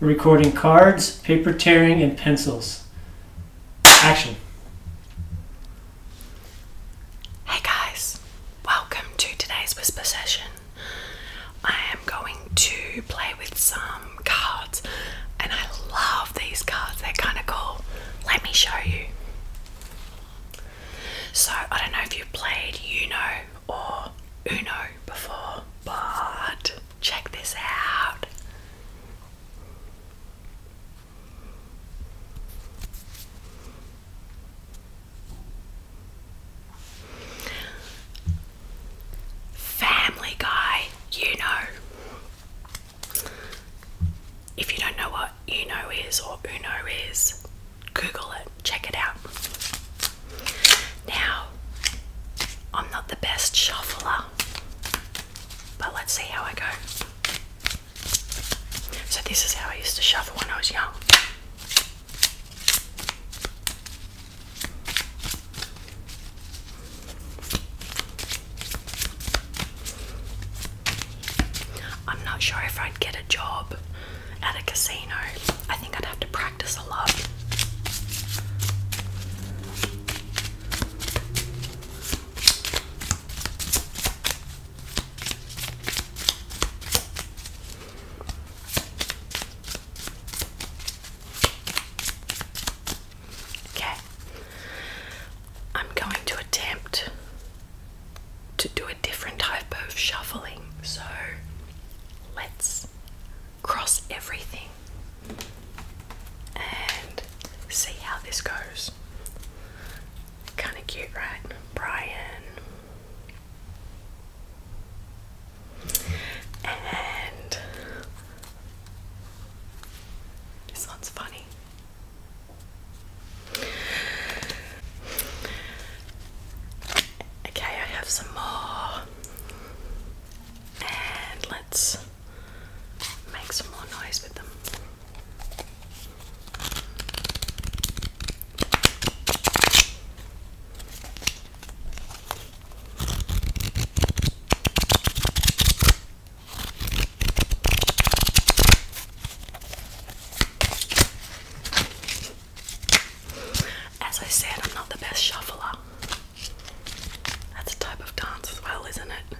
recording cards, paper tearing, and pencils. Action. Hey guys, welcome to today's whisper session. I am going to play with some um, cards, and I love these cards, they're kind of cool. Let me show you. So, I don't know if you've played Uno or Uno before, but check this out. Family Guy, you know. If you don't know what Uno is or Uno is, Google it, check it out. Now, I'm not the best shuffler, but let's see how I go. So, this is how I used to shuffle when I was young. I'm not sure if I'd get a job at a casino. I think I'd have to practice a lot. Okay. I'm going to attempt to do a different type of shuffling. So let's cross everything and see how this goes. Kind of cute, right? Brian. And this one's funny. Okay, I have some more. And let's make some more noise with them. As I said, I'm not the best shuffler. That's a type of dance as well, isn't it?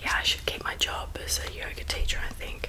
yeah, I should keep my job as a yoga teacher, I think.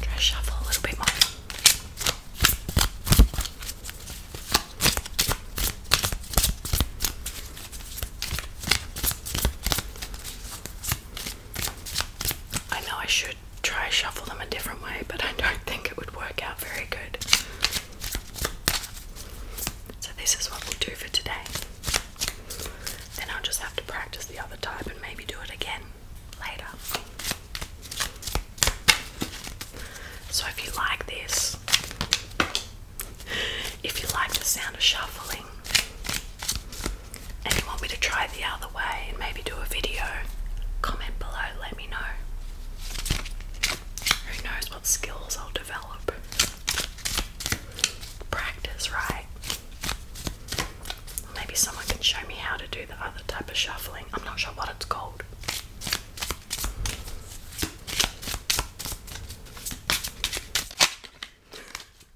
Try shuffle a little bit more. I know I should try shuffle them a different way, but I don't think it would work out very good. So this is what we'll do for today. Then I'll just have to practice the other type and maybe do it again later. So if you like this, if you like the sound of shuffling, and you want me to try the other way and maybe do a video, comment below, let me know. Who knows what skills I'll develop? Practice, right? Maybe someone can show me how to do the other type of shuffling. I'm not sure what it's called.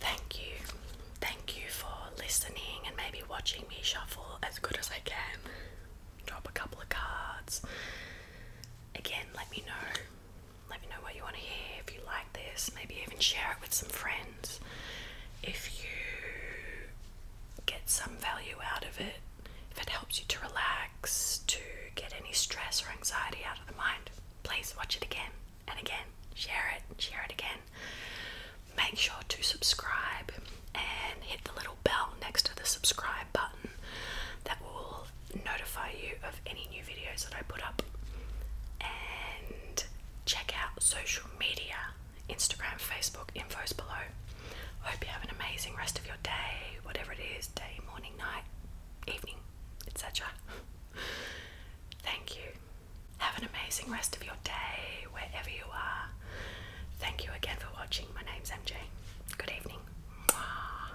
Thank you. Thank you for listening and maybe watching me shuffle as good as I can. Drop a couple of cards. Again, let me know. Let me know what you want to hear. If you like this, maybe even share it with some friends. If you get some value out of it, if it helps you to relax, to get any stress or anxiety out of the mind, please watch it again and again. Share it, share it again. Make sure to subscribe and hit the little bell next to the subscribe button that will notify you of any new videos that I put up. And check out social media Instagram, Facebook, info's below. I hope you have an amazing rest of your day, whatever it is day, morning, night, evening, etc. Thank you. Have an amazing rest of your day, wherever you are. Thank you again for watching. My name's MJ. Good evening. Mwah.